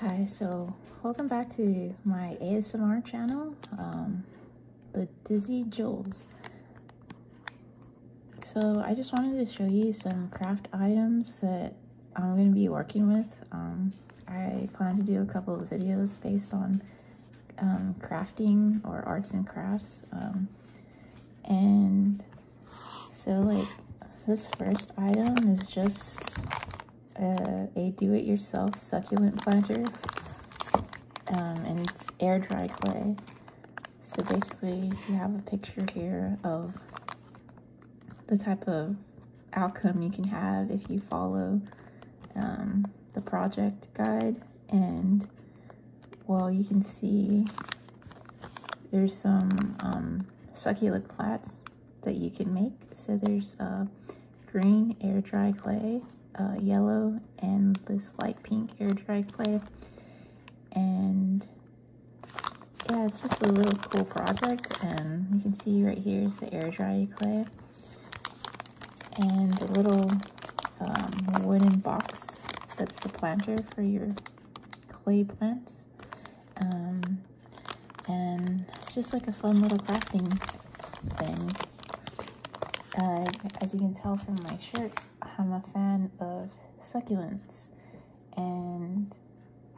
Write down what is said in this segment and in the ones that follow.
Hi, so welcome back to my ASMR channel, um, the Dizzy Jewels. So I just wanted to show you some craft items that I'm going to be working with. Um, I plan to do a couple of videos based on um, crafting or arts and crafts. Um, and so like this first item is just a do-it-yourself succulent planter. Um, and it's air dry clay. So basically you have a picture here of the type of outcome you can have if you follow the project guide and well, you can see there's some um, succulent plants that you can make. So there's uh, green air dry clay, uh, yellow, and this light pink air dry clay. And yeah, it's just a little cool project. And you can see right here is the air dry clay and a little um, wooden box that's the planter for your clay plants. Um, and it's just like a fun little crafting thing. Uh, as you can tell from my shirt, I'm a fan of succulents. And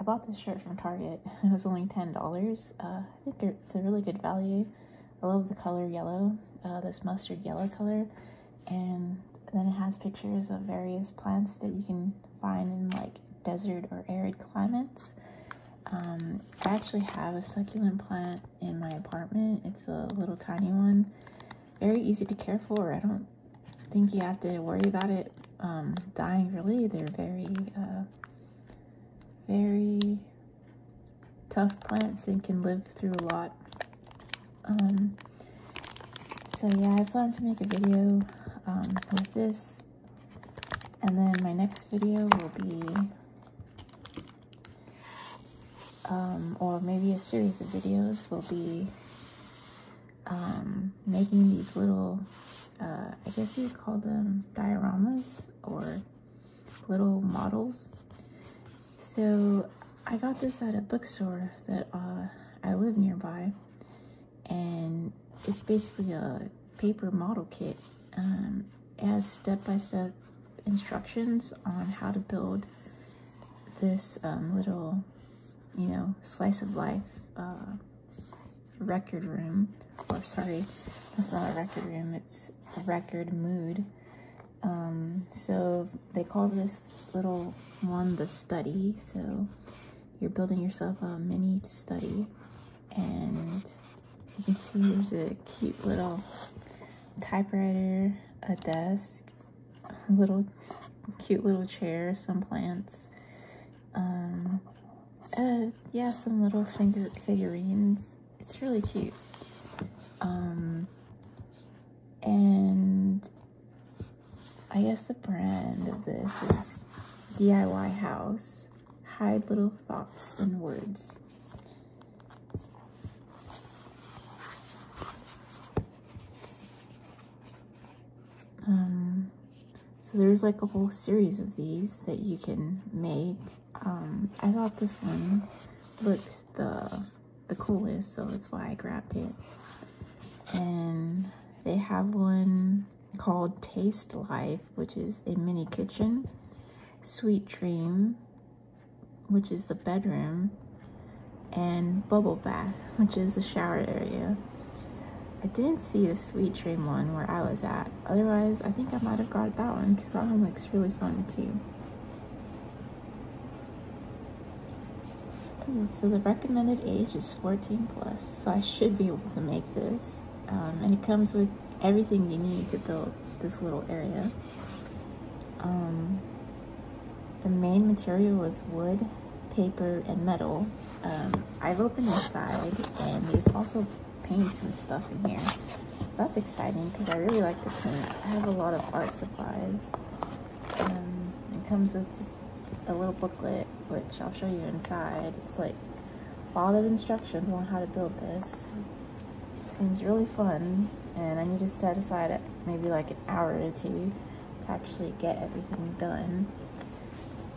I bought this shirt from Target. It was only $10. Uh, I think it's a really good value. I love the color yellow, uh, this mustard yellow color. And then it has pictures of various plants that you can find in like desert or arid climates. Um, I actually have a succulent plant in my apartment. It's a little tiny one. Very easy to care for. I don't think you have to worry about it um, dying really. They're very, uh, very tough plants and can live through a lot. Um, so yeah, I plan to make a video um, with this. And then my next video will be, um, or maybe a series of videos will be making these little, uh, I guess you would call them dioramas or little models. So I got this at a bookstore that uh, I live nearby, and it's basically a paper model kit. Um, it has step-by-step instructions on how to build this um, little, you know, slice of life uh, record room, or sorry, that's not a record room, it's a record mood um, so they call this little one the study. So you're building yourself a mini study and you can see there's a cute little typewriter, a desk, a little cute little chair, some plants, um, uh, yeah, some little finger figurines, it's really cute. Um, and I guess the brand of this is DIY House. Hide little thoughts in words. Um, so there's like a whole series of these that you can make. Um, I thought this one looked the the coolest, so that's why I grabbed it. And they have one called Taste Life, which is a mini kitchen. Sweet Dream, which is the bedroom. And Bubble Bath, which is the shower area. I didn't see the Sweet Dream one where I was at. Otherwise, I think I might have got that one because that one looks really fun too. Hmm, so the recommended age is 14 plus, so I should be able to make this. Um, and it comes with everything you need to build this little area. Um, the main material is wood, paper, and metal. Um, I've opened inside, and there's also paints and stuff in here that's exciting because I really like to paint. I have a lot of art supplies. Um, it comes with a little booklet, which I'll show you inside. It's like all of instructions on how to build this. Seems really fun, and I need to set aside maybe like an hour or two to actually get everything done.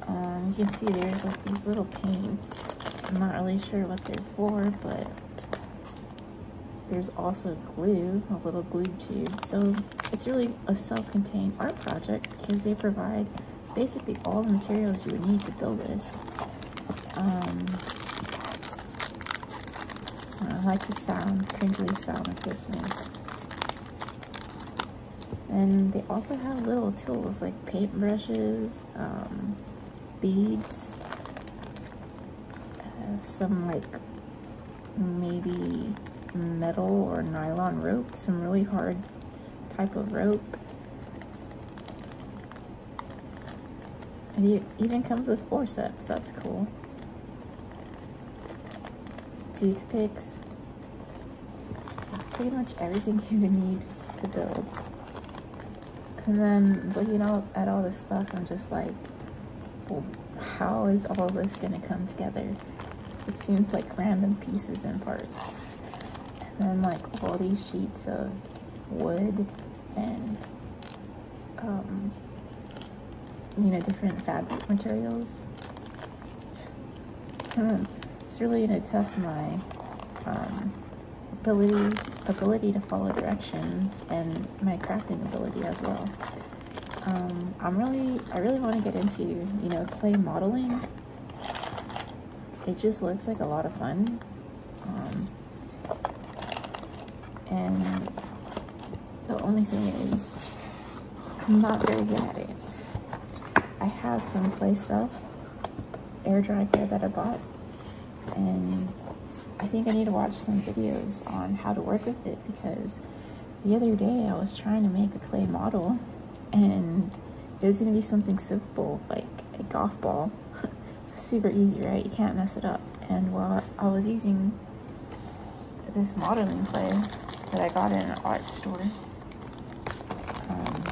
Um, you can see there's like these little paints. I'm not really sure what they're for, but there's also glue, a little glue tube. So it's really a self-contained art project because they provide basically all the materials you would need to build this. Um, I like the sound, crinkly sound that this makes. And they also have little tools like paintbrushes, um, beads uh, some like maybe metal or nylon rope some really hard type of rope and it even comes with forceps that's cool toothpicks pretty much everything you would need to build and then looking all, at all this stuff, I'm just like, how is all this going to come together? It seems like random pieces and parts. And then like all these sheets of wood and, um, you know, different fabric materials. Hmm, it's really going to test my um, ability ability to follow directions and my crafting ability as well. Um, I'm really, I really want to get into, you know, clay modeling. It just looks like a lot of fun. Um, and the only thing is, I'm not very good at it. I have some clay stuff, air dry clay that I bought, and I think I need to watch some videos on how to work with it because the other day I was trying to make a clay model and it was going to be something simple like a golf ball. Super easy, right? You can't mess it up. And while I was using this modeling clay that I got in an art store, um,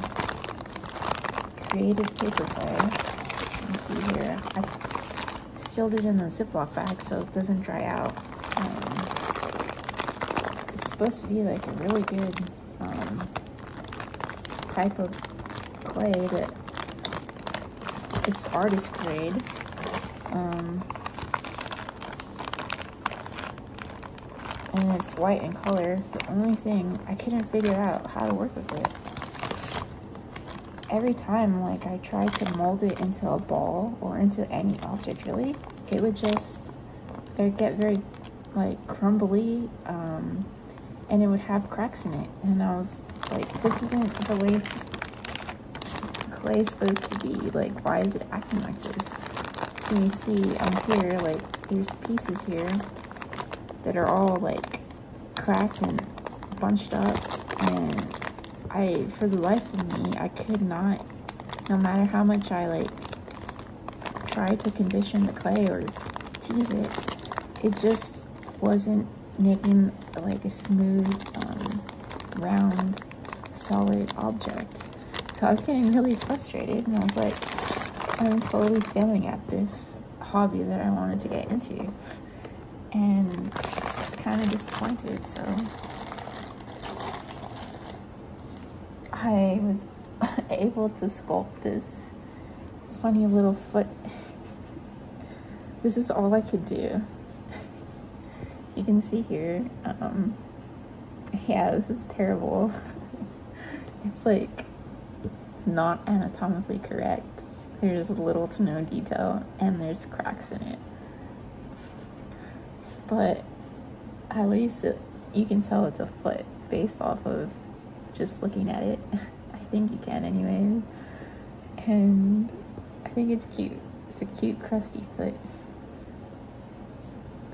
creative paper clay, you can see here, sealed it in the ziplock bag so it doesn't dry out. Um, it's supposed to be like a really good um, type of clay that it's artist grade. Um, and it's white in color. the only thing I couldn't figure out how to work with it every time like I tried to mold it into a ball or into any object really, it would just they get very like crumbly um, and it would have cracks in it. And I was like, this isn't the way clay is supposed to be. Like, why is it acting like this? So you see on um, here, like, there's pieces here that are all like cracked and bunched up and I, for the life of me, I could not, no matter how much I like try to condition the clay or tease it, it just wasn't making like a smooth, um, round, solid object. So I was getting really frustrated and I was like, I'm totally failing at this hobby that I wanted to get into. And I was kind of disappointed, so I was able to sculpt this funny little foot. this is all I could do. you can see here. Um, yeah, this is terrible. it's like not anatomically correct there's little to no detail and there's cracks in it. but at least you can tell it's a foot based off of just looking at it. I think you can, anyways. And I think it's cute. It's a cute, crusty foot.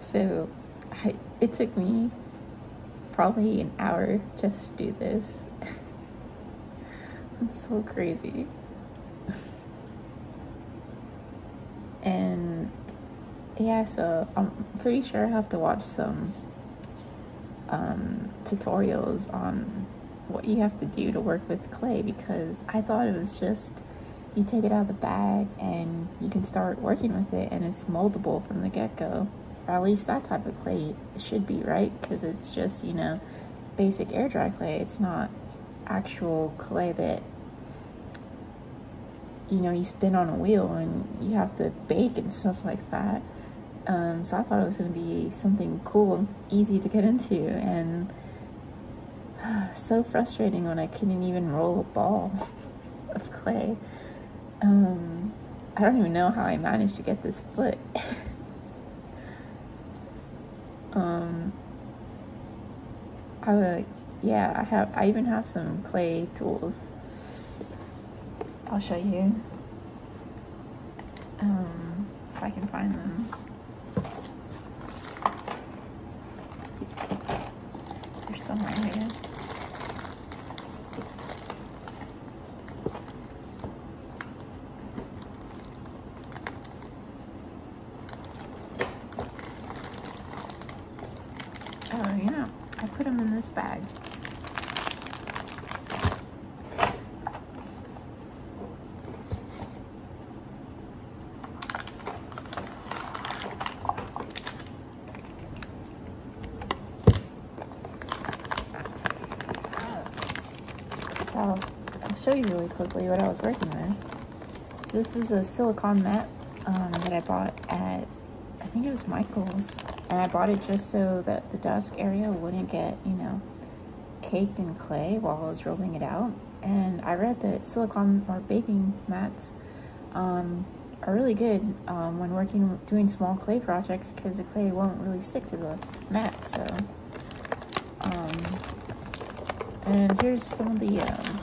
So I, it took me probably an hour just to do this. That's so crazy. and yeah, so I'm pretty sure I have to watch some um, tutorials on what you have to do to work with clay because I thought it was just you take it out of the bag and you can start working with it and it's moldable from the get-go or at least that type of clay it should be, right? Because it's just, you know, basic air dry clay. It's not actual clay that, you know, you spin on a wheel and you have to bake and stuff like that. Um, so I thought it was going to be something cool and easy to get into. And so frustrating when I couldn't even roll a ball of clay. Um, I don't even know how I managed to get this foot. Um, I would, yeah, I have, I even have some clay tools. I'll show you. Um, if I can find them. They're somewhere here. Oh yeah, I put them in this bag. So I'll show you really quickly what I was working with. So this was a silicone mat um, that I bought at, I think it was Michael's. And I bought it just so that the desk area wouldn't get, you know, caked in clay while I was rolling it out. And I read that silicone or baking mats um, are really good um, when working doing small clay projects because the clay won't really stick to the mat so um, and here's some of the um,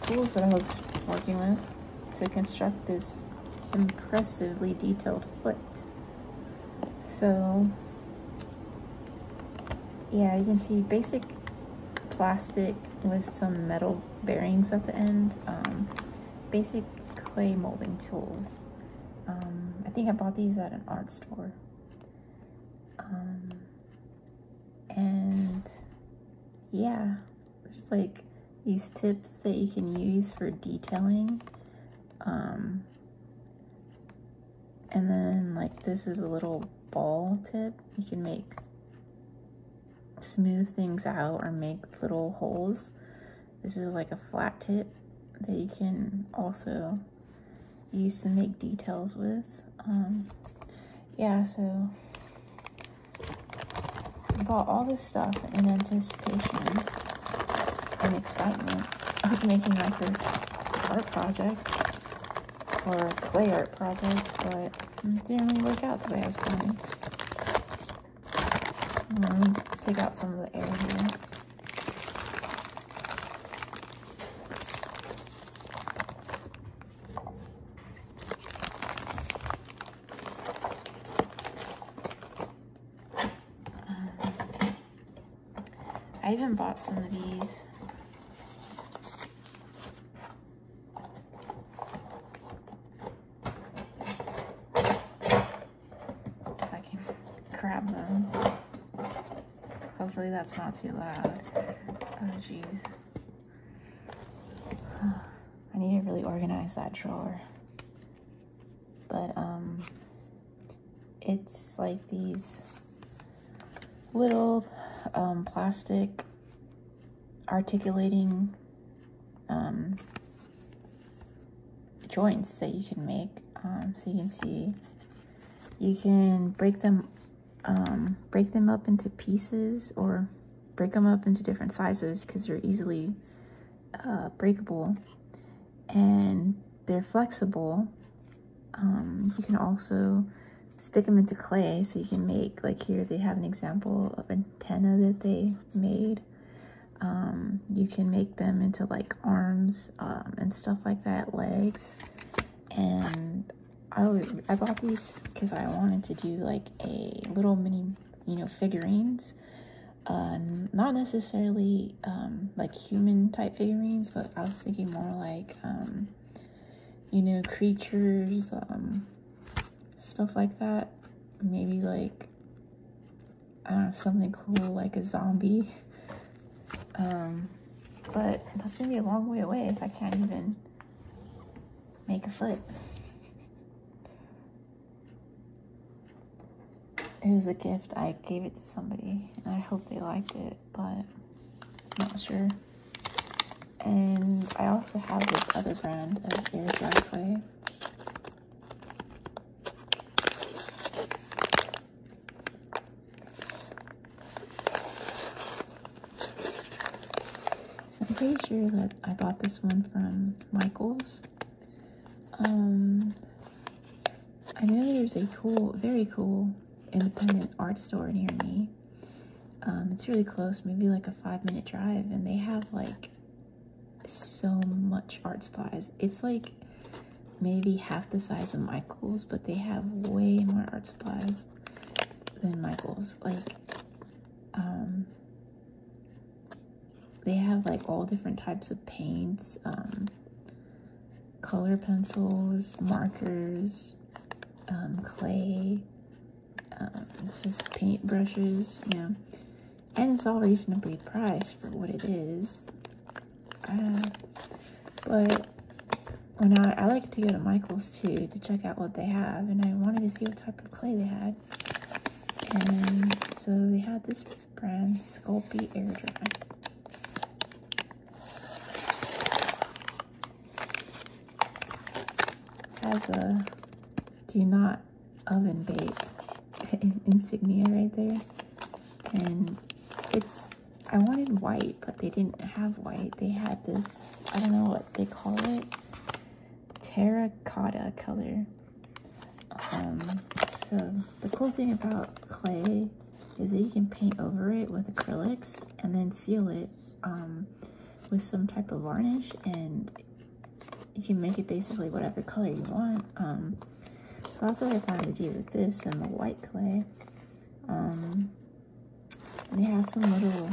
tools that I was working with to construct this impressively detailed foot. So, yeah, you can see basic plastic with some metal bearings at the end, um, basic clay molding tools. Um, I think I bought these at an art store. Um, and yeah, there's like these tips that you can use for detailing. Um, and then like this is a little ball tip. You can make smooth things out or make little holes. This is like a flat tip that you can also use to make details with. Um, yeah, so I bought all this stuff in anticipation and excitement of making my first art project or clay art project, but didn't really work out the way I was planning. I'm um, take out some of the air here. I even bought some of these. If I can grab them. Hopefully that's not too loud. Oh, jeez. I need to really organize that drawer. But, um, it's like these little um, plastic articulating um, joints that you can make. Um, so you can see, you can break them, um, break them up into pieces or break them up into different sizes because they're easily uh, breakable and they're flexible. Um, you can also stick them into clay so you can make, like here they have an example of antenna that they made. Um, you can make them into like arms um, and stuff like that, legs. And I, I bought these because I wanted to do like a little mini, you know, figurines. Uh, not necessarily um, like human type figurines, but I was thinking more like, um, you know, creatures, um, stuff like that. Maybe like I don't know, something cool like a zombie. Um, but that's gonna be a long way away if I can't even make a foot. It was a gift. I gave it to somebody I hope they liked it, but I'm not sure. And I also have this other brand of air dry clay. I'm pretty sure that I bought this one from Michaels. Um, I know there's a cool, very cool independent art store near me. Um, it's really close, maybe like a five minute drive, and they have like so much art supplies. It's like maybe half the size of Michael's, but they have way more art supplies than Michael's. Like, um, they have like all different types of paints, um, color pencils, markers, um, clay, just paint brushes, you know. And it's all reasonably priced for what it is but uh, when oh, I, I like to go to Michael's too to check out what they have, and I wanted to see what type of clay they had. And so they had this brand, Sculpey Air Dry. Has a do not oven bake insignia right there and it's I wanted white, but they didn't have white. They had this, I don't know what they call it, terracotta color. Um, so the cool thing about clay is that you can paint over it with acrylics and then seal it um, with some type of varnish and you can make it basically whatever color you want. Um, so that's what I plan to do with this and the white clay. Um, they have some little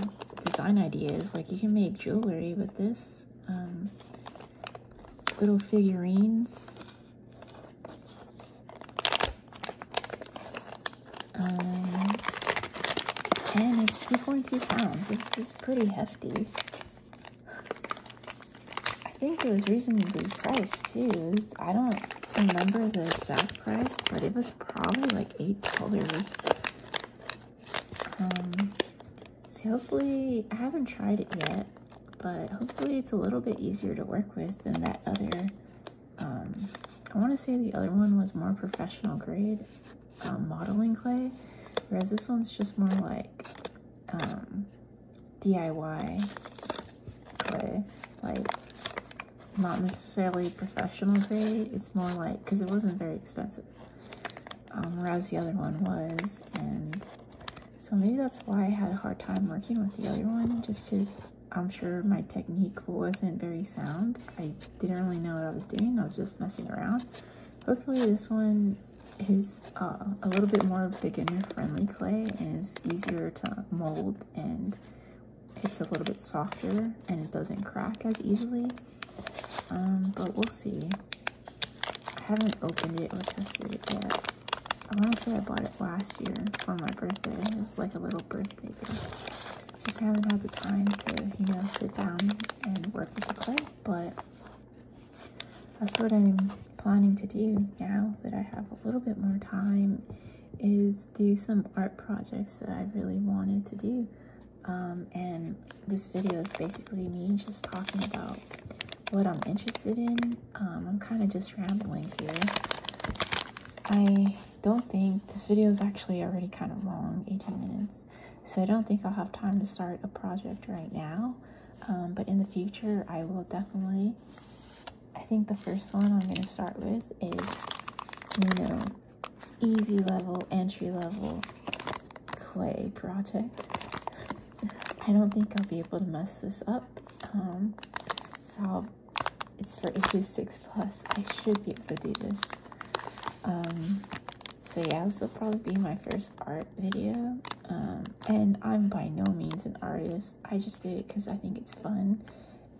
design ideas, like you can make jewelry with this. Um, little figurines. Um, and it's 2.2 pounds. This is pretty hefty. I think it was reasonably priced too. I don't remember the exact price, but it was probably like eight dollars. Um, so hopefully, I haven't tried it yet, but hopefully it's a little bit easier to work with than that other. Um, I want to say the other one was more professional grade um, modeling clay, whereas this one's just more like um, DIY clay. Like, not necessarily professional grade. It's more like, because it wasn't very expensive. Um, whereas the other one was. And so maybe that's why I had a hard time working with the other one. Just because I'm sure my technique wasn't very sound. I didn't really know what I was doing. I was just messing around. Hopefully this one, is. Uh, a little bit more beginner-friendly clay and is easier to mold and it's a little bit softer and it doesn't crack as easily. Um, but we'll see. I haven't opened it or tested it yet. I want to say I bought it last year for my birthday. It was like a little birthday gift. Just haven't had the time to, you know, sit down and work with the clay, but that's what I'm planning to do now that I have a little bit more time is do some art projects that I really wanted to do. Um, and this video is basically me just talking about what I'm interested in. Um, I'm kind of just rambling here. I don't think this video is actually already kind of long, 18 minutes. So I don't think I'll have time to start a project right now. Um, but in the future, I will definitely I think the first one I'm going to start with is, you know, easy level, entry level clay project. I don't think I'll be able to mess this up. Um, so it's for ages 6 plus. I should be able to do this. Um, so yeah, this will probably be my first art video. Um, and I'm by no means an artist. I just do it because I think it's fun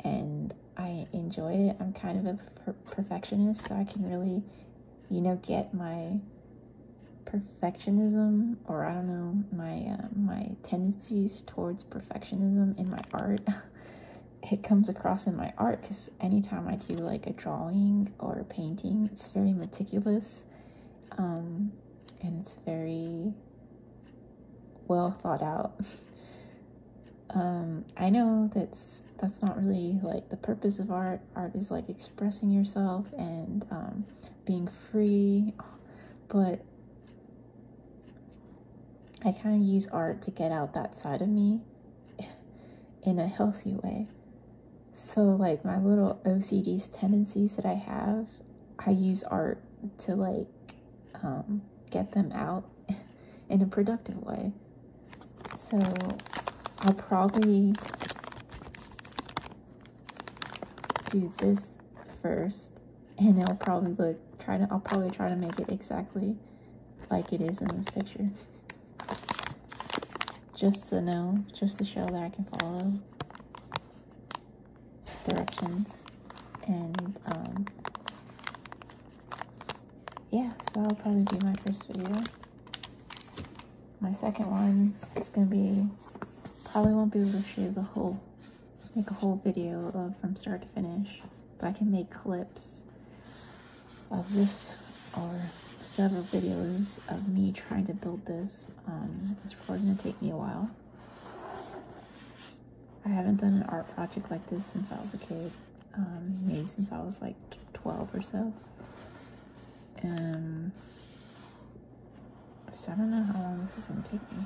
and I enjoy it. I'm kind of a perfectionist, so I can really, you know, get my perfectionism or I don't know my uh, my tendencies towards perfectionism in my art. it comes across in my art because anytime I do like a drawing or painting, it's very meticulous um, and it's very well thought out. um, I know that's that's not really like the purpose of art. Art is like expressing yourself and um, being free, but I kind of use art to get out that side of me in a healthy way. So, like my little OCD's tendencies that I have, I use art to like um, get them out in a productive way. So I'll probably do this first and I'll probably look try to I'll probably try to make it exactly like it is in this picture. Just to know, just to show that I can follow directions. And um, yeah, so that'll probably be my first video. My second one is gonna be probably won't be able to show you the whole make a whole video of from start to finish, but I can make clips of this or several videos of me trying to build this. Um, it's probably gonna take me a while. I haven't done an art project like this since I was a kid, um, maybe since I was like 12 or so. Um, so I don't know how long this is going to take me.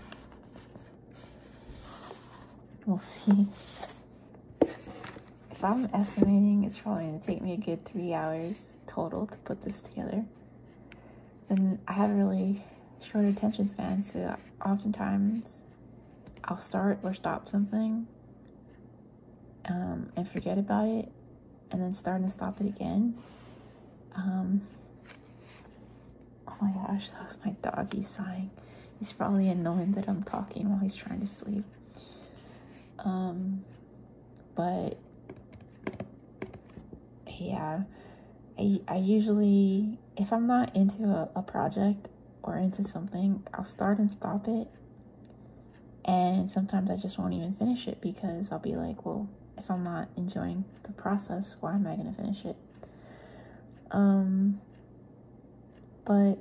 We'll see. If I'm estimating, it's probably going to take me a good three hours total to put this together then I have a really short attention span, so oftentimes I'll start or stop something um, and forget about it, and then start and stop it again. Um, oh my gosh, that my dog. He's sighing. He's probably annoyed that I'm talking while he's trying to sleep. Um, but yeah, I, I usually, if I'm not into a, a project or into something, I'll start and stop it. And sometimes I just won't even finish it because I'll be like, well, if I'm not enjoying the process, why am I going to finish it? Um, but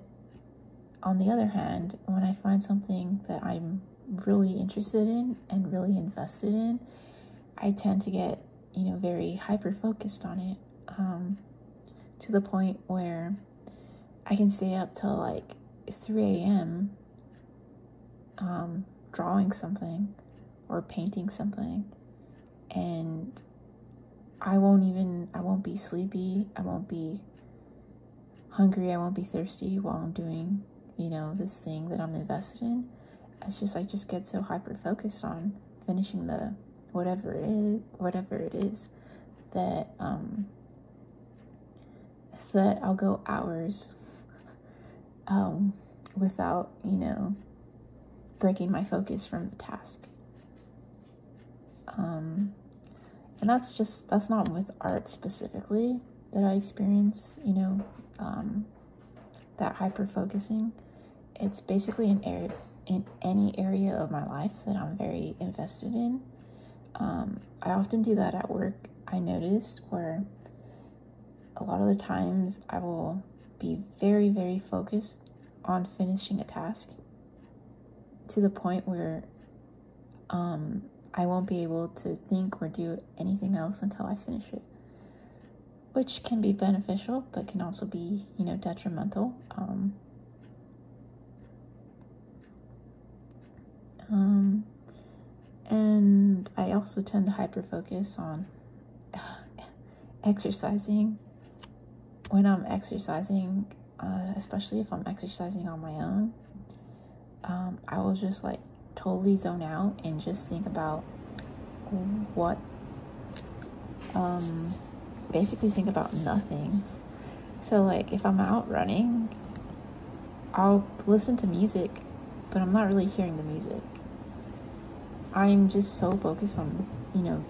on the other hand, when I find something that I'm really interested in and really invested in, I tend to get, you know, very hyper focused on it um, to the point where I can stay up till like 3 a.m. Um, drawing something or painting something and I won't even I won't be sleepy, I won't be hungry, I won't be thirsty while I'm doing you know, this thing that I'm invested in, it's just like just get so hyper focused on finishing the whatever it is, whatever it is, that um, that I'll go hours um without you know breaking my focus from the task. Um, and that's just that's not with art specifically that I experience, you know, um, that hyper focusing. It's basically an area in any area of my life that I'm very invested in. Um, I often do that at work. I noticed where a lot of the times I will be very, very focused on finishing a task to the point where um, I won't be able to think or do anything else until I finish it which can be beneficial but can also be, you know, detrimental. Um, um and I also tend to hyper focus on exercising when I'm exercising, uh, especially if I'm exercising on my own. Um, I will just like totally zone out and just think about what um, basically think about nothing so like if i'm out running i'll listen to music but i'm not really hearing the music i'm just so focused on you know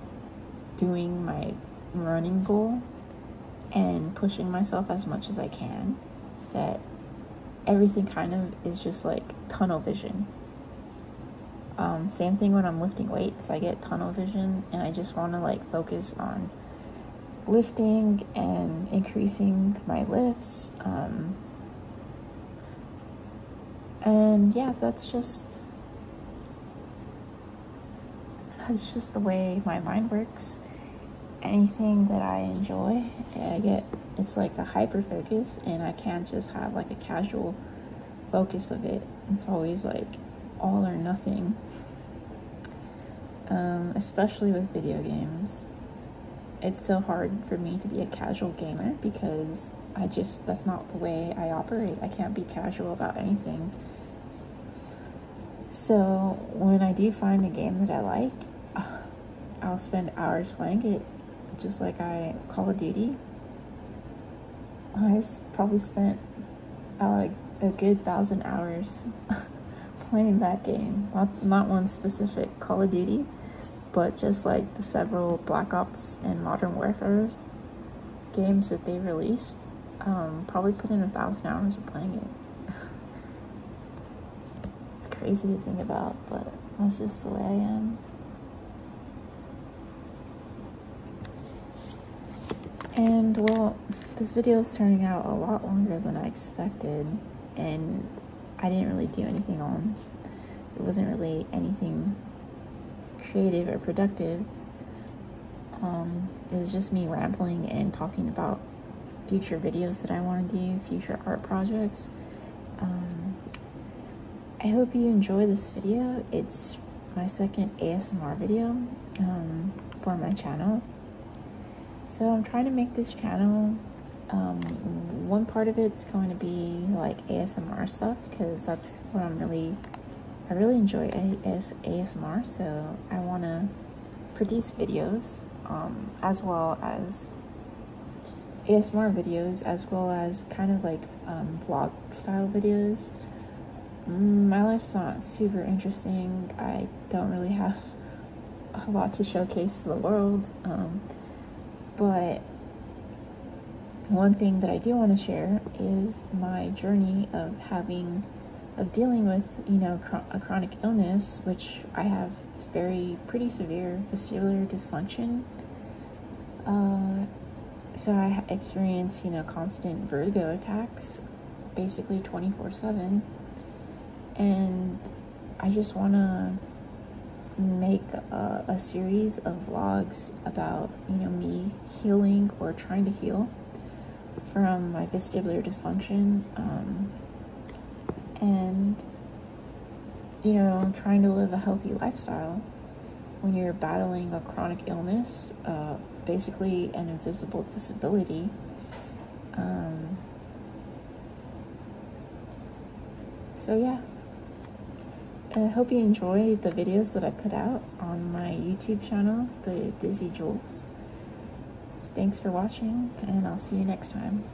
doing my running goal and pushing myself as much as i can that everything kind of is just like tunnel vision. Um, same thing when I'm lifting weights, I get tunnel vision and I just want to like focus on lifting and increasing my lifts. Um, and yeah, that's just that's just the way my mind works. Anything that I enjoy I get it's like a hyper focus and I can't just have like a casual focus of it. It's always like all or nothing. Um, especially with video games. It's so hard for me to be a casual gamer because I just, that's not the way I operate. I can't be casual about anything. So when I do find a game that I like, I'll spend hours playing it, just like I Call of Duty. I've probably spent uh, like a good thousand hours playing that game. Not, not one specific Call of Duty, but just like the several Black Ops and Modern Warfare games that they released. Um, probably put in a thousand hours of playing it. it's crazy to think about, but that's just the way I am. And well, this video is turning out a lot longer than I expected, and I didn't really do anything on. It wasn't really anything creative or productive. Um, it was just me rambling and talking about future videos that I want to do, future art projects. Um, I hope you enjoy this video. It's my second ASMR video um, for my channel. So I'm trying to make this channel. Um, one part of it's going to be like ASMR stuff because that's what I'm really, I really enjoy AS ASMR. So I want to produce videos um, as well as ASMR videos as well as kind of like um, vlog style videos. Mm, my life's not super interesting. I don't really have a lot to showcase to the world. Um, but one thing that I do want to share is my journey of having, of dealing with, you know, a chronic illness, which I have very pretty severe vestibular dysfunction. Uh, so I experienced, you know, constant vertigo attacks, basically 24/7, and I just want to make a, series of vlogs about you know me healing or trying to heal from my vestibular dysfunction um, and you know, trying to live a healthy lifestyle, when you're battling a chronic illness, uh, basically an invisible disability, um, so yeah. I hope you enjoy the videos that I put out on my YouTube channel, The Dizzy Jewels. Thanks for watching, and I'll see you next time.